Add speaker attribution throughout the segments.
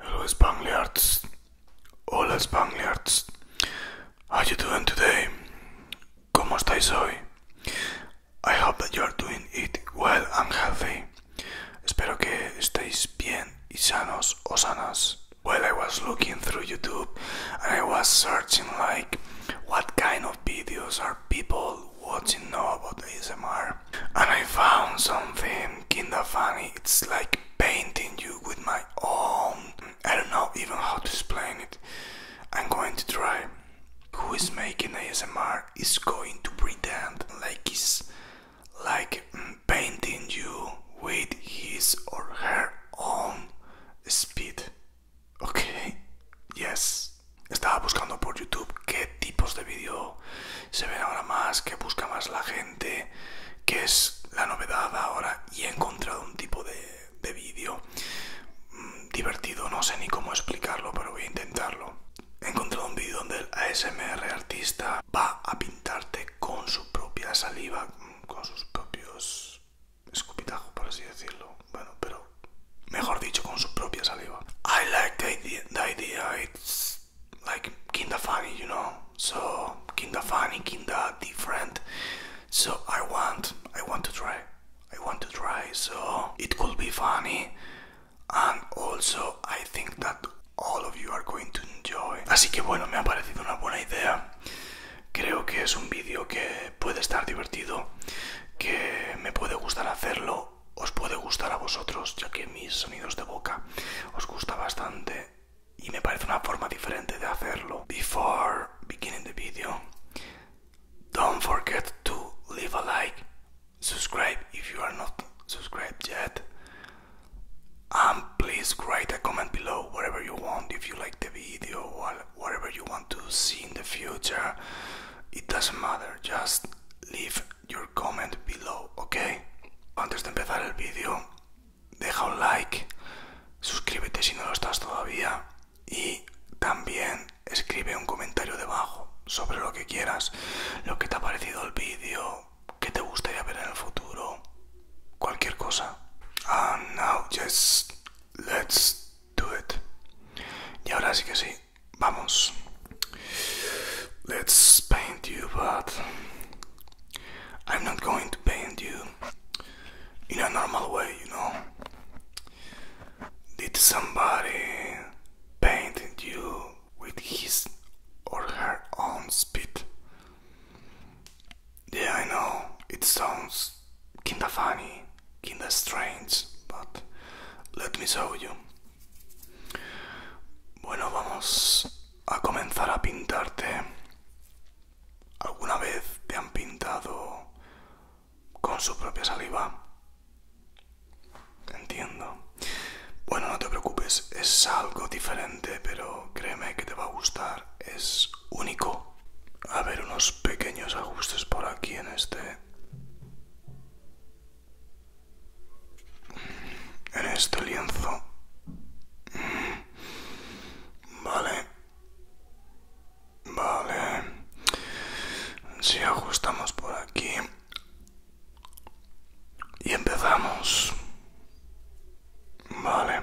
Speaker 1: Hello Spangliards! Hola Spangliards! How you doing today? ¿Cómo estáis hoy? I hope that you are doing it well and healthy. Espero que estéis bien y sanos o sanas. While I was looking through YouTube I was searching like what kind of videos are people watching now about ASMR. And I found something kinda funny. It's like painting you with my own. I don't know even how to explain it. I'm going to try. Who is making ASMR is going to pretend like he's like mm, painting you with his or her own speed. Ok, yes. Estaba buscando por YouTube qué tipos de vídeo se ven ahora más, qué busca más la gente, qué es la novedad ahora y he encontrado un tipo de, vídeo mm, divertido, no sé ni cómo explicarlo, pero voy a intentarlo. He encontrado un vídeo
Speaker 2: donde el ASMR artista va a pintarte con su propia saliva, con sus propios escupitajo, por así decirlo. Bueno, pero mejor dicho, con su propia saliva. I like the idea, the idea. it's like kinda funny, you know? So, kinda funny, kinda different. So, I want, I want to try. I want to try, so it could be funny. And also, I think that all of you are going to enjoy. Así que bueno, me ha parecido una buena idea creo que es un vídeo que puede estar divertido, que me puede gustar hacerlo, os puede gustar a vosotros, ya que mis sonidos de boca os gusta bastante y me parece una forma diferente de hacerlo. Before beginning the video, don't forget to leave a like, subscribe if you are not subscribed yet, and please write a comment below whatever you want if you
Speaker 1: like the video or whatever you want to see in the future. It doesn't matter, just leave your comment below, ok? Antes de empezar el vídeo, deja un like, suscríbete si no lo estás todavía y también escribe un comentario debajo sobre lo que quieras, lo que te ha parecido el vídeo, qué te gustaría ver en el futuro, cualquier cosa. And now just Let's do it. Yeah, ahora sí que sí, vamos. Let's paint you, but
Speaker 2: I'm not going to paint you in a normal way, you know. Did somebody paint you with his or her own spit? Yeah, I know, it sounds kinda funny, kinda
Speaker 1: strange, but let me show you. Bueno, vamos a comenzar a pintarte. ¿Alguna vez te han pintado con su propia saliva? Entiendo. Bueno, no te preocupes, es algo diferente, pero créeme que te va a gustar es único. A ver, unos pequeños ajustes por aquí en este... En este lienzo. Vale. Vale. Si ajustamos por aquí. Y empezamos. Vale.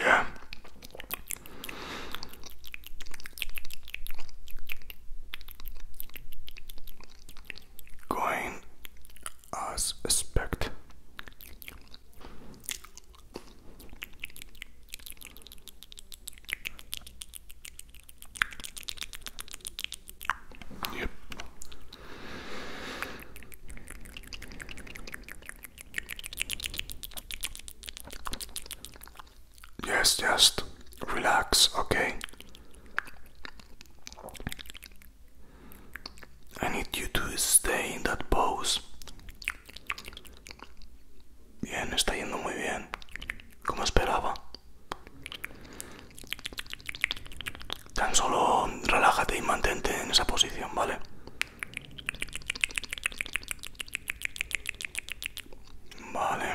Speaker 1: Yeah. Going as expect Yep. Yes, just relax, okay? I need you to stay in that pose. Bien, está yendo muy bien. Como esperaba. Tan solo relájate y mantente en esa posición, ¿vale? Vale.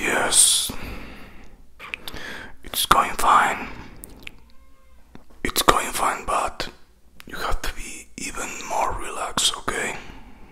Speaker 1: Yes, it's going fine. It's going fine, but you have to be even more relaxed, okay?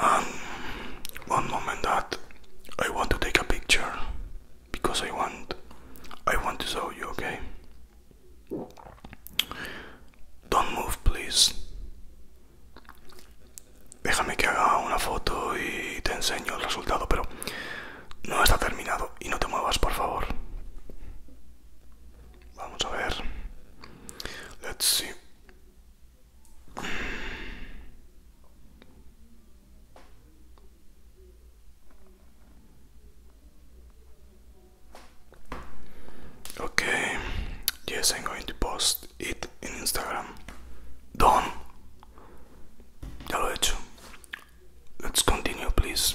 Speaker 1: Um, one moment I want to take a picture because I want I want to show you, okay? Don't move, please. Déjame que haga una foto y te enseño el resultado, pero no está terminado y no te muevas, por favor. Let's see. Okay. Yes, I'm going to post it in Instagram. Done. Ya lo he hecho. Let's continue, please.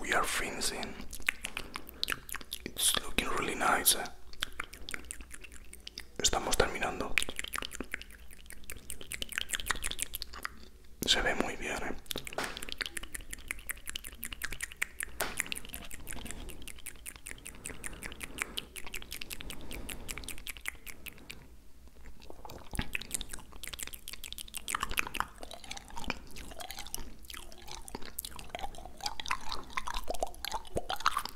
Speaker 1: We are finishing. It's looking really nice. Eh? Estamos terminando. Se ve muy bien, ¿eh?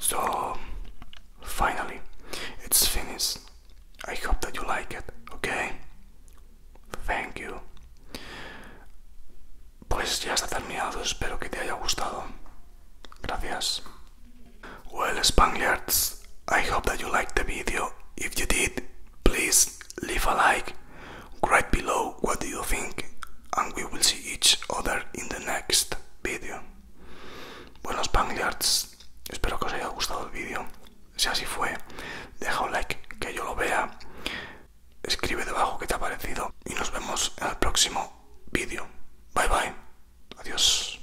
Speaker 1: So finally, it's finished. I hope that you like it, okay? Thank you. Pues ya está terminado, espero que te haya gustado. Gracias. Well, Spaniards, I hope that you liked the video. If you did, please leave a like. Write below what do you think, and we will see each other in the next video. Buenos Spaniards. Espero que os haya gustado el vídeo. Si así fue, deja un like que yo lo vea. Escribe debajo qué te ha parecido. Y nos vemos en el próximo vídeo. Bye bye. Adiós.